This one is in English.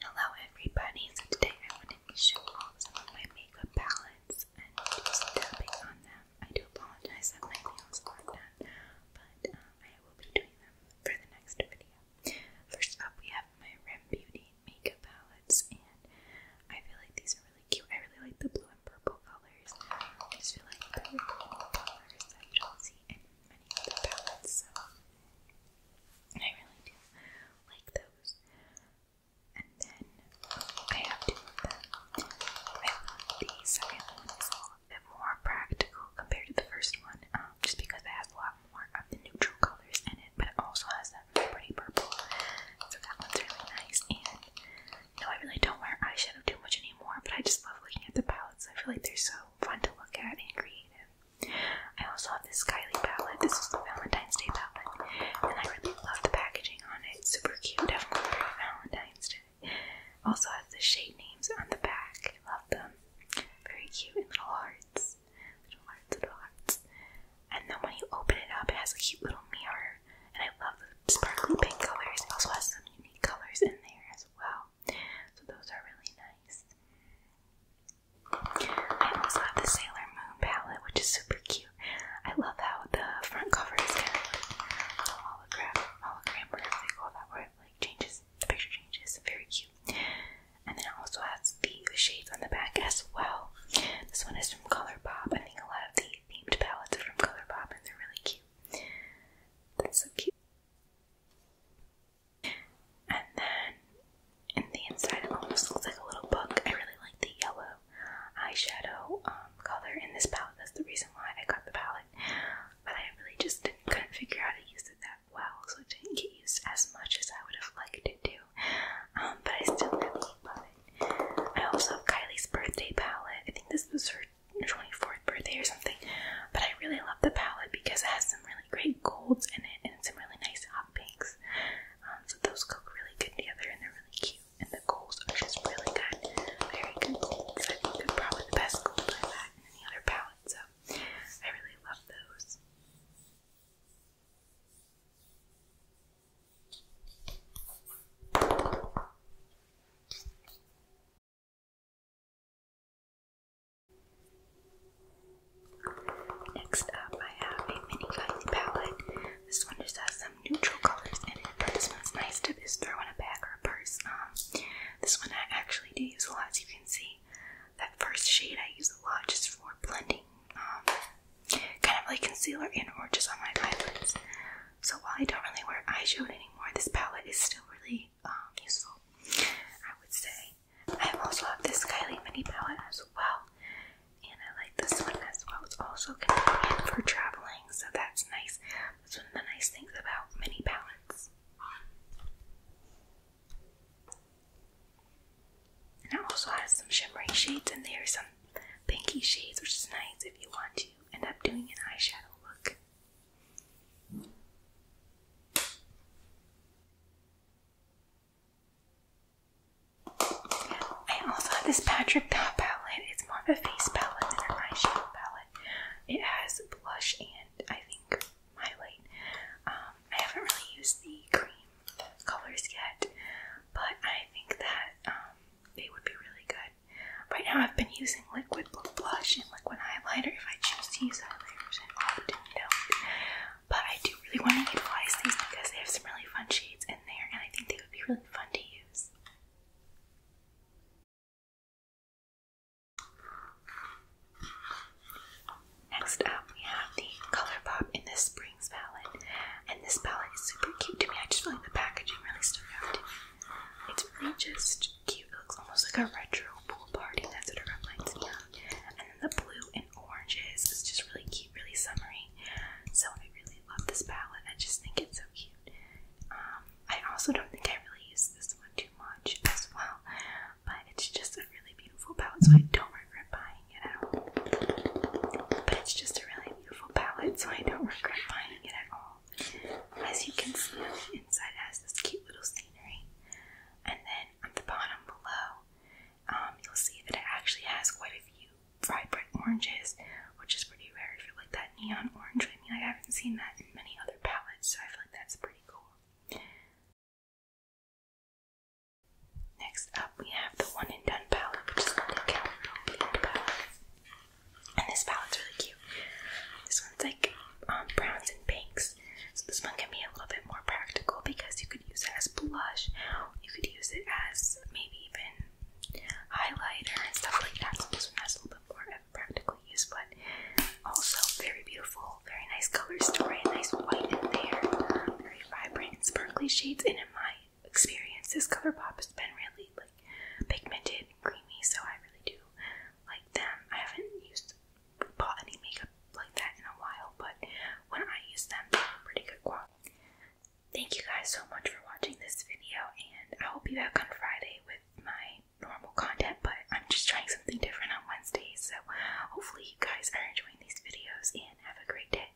Hello everybody, so today I wanted to show off some of my makeup palettes and just dabbing on them. I do apologize that my nails aren't done, but um, I will be doing them for the next video. First up we have my Rim Beauty makeup palettes and I feel like these are really cute. I really like the blue and purple colors. I just feel like they're really cool colors that you don't see in many other palettes, I really do like those. And then I have two the second one is a little bit more practical compared to the first one, um, just because it has a lot more of the neutral colors in it, but also has that pretty purple. So that one's really nice. And you I really don't wear eyeshadow too much anymore, but I just love looking at the palettes. I feel like they're so fun to look at and creative. I also have this Kylie palette. This is the Valentine's Day palette, and I really love the packaging on it. super cute, definitely for Valentine's Day. Also has the shade names on the back. I love them. Very cute and little hearts, little hearts, little hearts. And then when you open it up, it has a cute little mirror, and I love the sparkly pink colors. It also has some unique colors in there as well. So those are really nice. I also have the Sailor Moon palette, which is super cute. I love how the front cover is kind of like hologram, hologram, whatever they call that, where like changes, the picture changes. Very cute. And then it also has the shades on the back as well. This one is from ColourPop. I think a lot of the themed palettes are from ColourPop, and they're really cute. That's so cute. And then in the inside, it almost looks like a little book. I really like the yellow eyeshadow um, color in this palette. That's the reason why I got the palette. But I really just didn't, couldn't figure out how to use it that well, so I didn't get used as much as I would have liked it to. Um, but I still really love it. I also have Kylie's birthday palette. I think this was her 24th birthday or something. But I really love the palette because it has some really great golds in it and some really nice hot pinks. Um, so those go really good together and they're really cute. And the golds are just really good. Very good golds. probably the best gold i any other palette. So I really love those. Next up, I have a mini light palette. This one just has some neutral colors in it, this one's nice to just throw in a bag or a purse. Um, this one I actually do use a lot, as you can see. That first shade I use a lot just for blending, um, kind of like concealer and or just on my eyelids. So while I don't really wear eyeshadow anymore, this palette is still really um, useful, I would say. I also have this Kylie mini palette as well, and I like this one as well. It's also convenient for traveling, so that's nice. That's one of the nice things about mini palettes. And it also has some shimmery shades and there, are some pinky shades, which is nice if you want to end up doing an eyeshadow look. I also have this Patrick palette. It's more of a face palette than an eyeshadow palette. It has blush and I think highlight. Um, I haven't really used the cream colors yet, but I think that um, they would be really good. Right now, I've been using liquid blush and liquid highlighter. If I choose to use highlighters, I often don't. But I do really want to utilize these because they have some really fun shades in there, and I think they would be really fun to use. Next up, we have the ColourPop in the Springs palette, and this palette is super cute to me. I just feel like the packaging really stood out to it's really just cute. It looks almost like a retro pool party. That's what it reminds me of. And then the blue and oranges is just really cute, really summery. So I really love this palette. I just think it's so cute. Um, I also don't think I really use this one too much as well. But it's just a really beautiful palette, so I don't regret buying it at all. But it's just a really beautiful palette, so I don't regret buying it at all. As you can see the inside, has this cute little scenery. And then on the bottom below, um, you'll see that it actually has quite a few vibrant oranges, which is pretty rare. for like that neon orange, I mean, I haven't seen that in many other palettes, so I feel like that's pretty cool. Next up, we have the One and Done palette, which is called the Count Palette. And this palette's really cute. This one's like um, browns and pinks. So this one can be a little bit more practical because you could use it as blush. You could use it as maybe even highlighter and stuff like that. So this one has a little bit more practical use, but also very beautiful, very nice color story, nice white in there, very vibrant sparkly shades. And in my experience. This ColourPop has been really like pigmented creamy, so I really do like them. I haven't used bought any makeup like that in a while, but when I use them, they're pretty good quality. Thank you guys so much for watching this video, and I will be back on Friday with my normal content, but I'm just trying something different on Wednesday, so hopefully you guys are enjoying these videos and have a great day.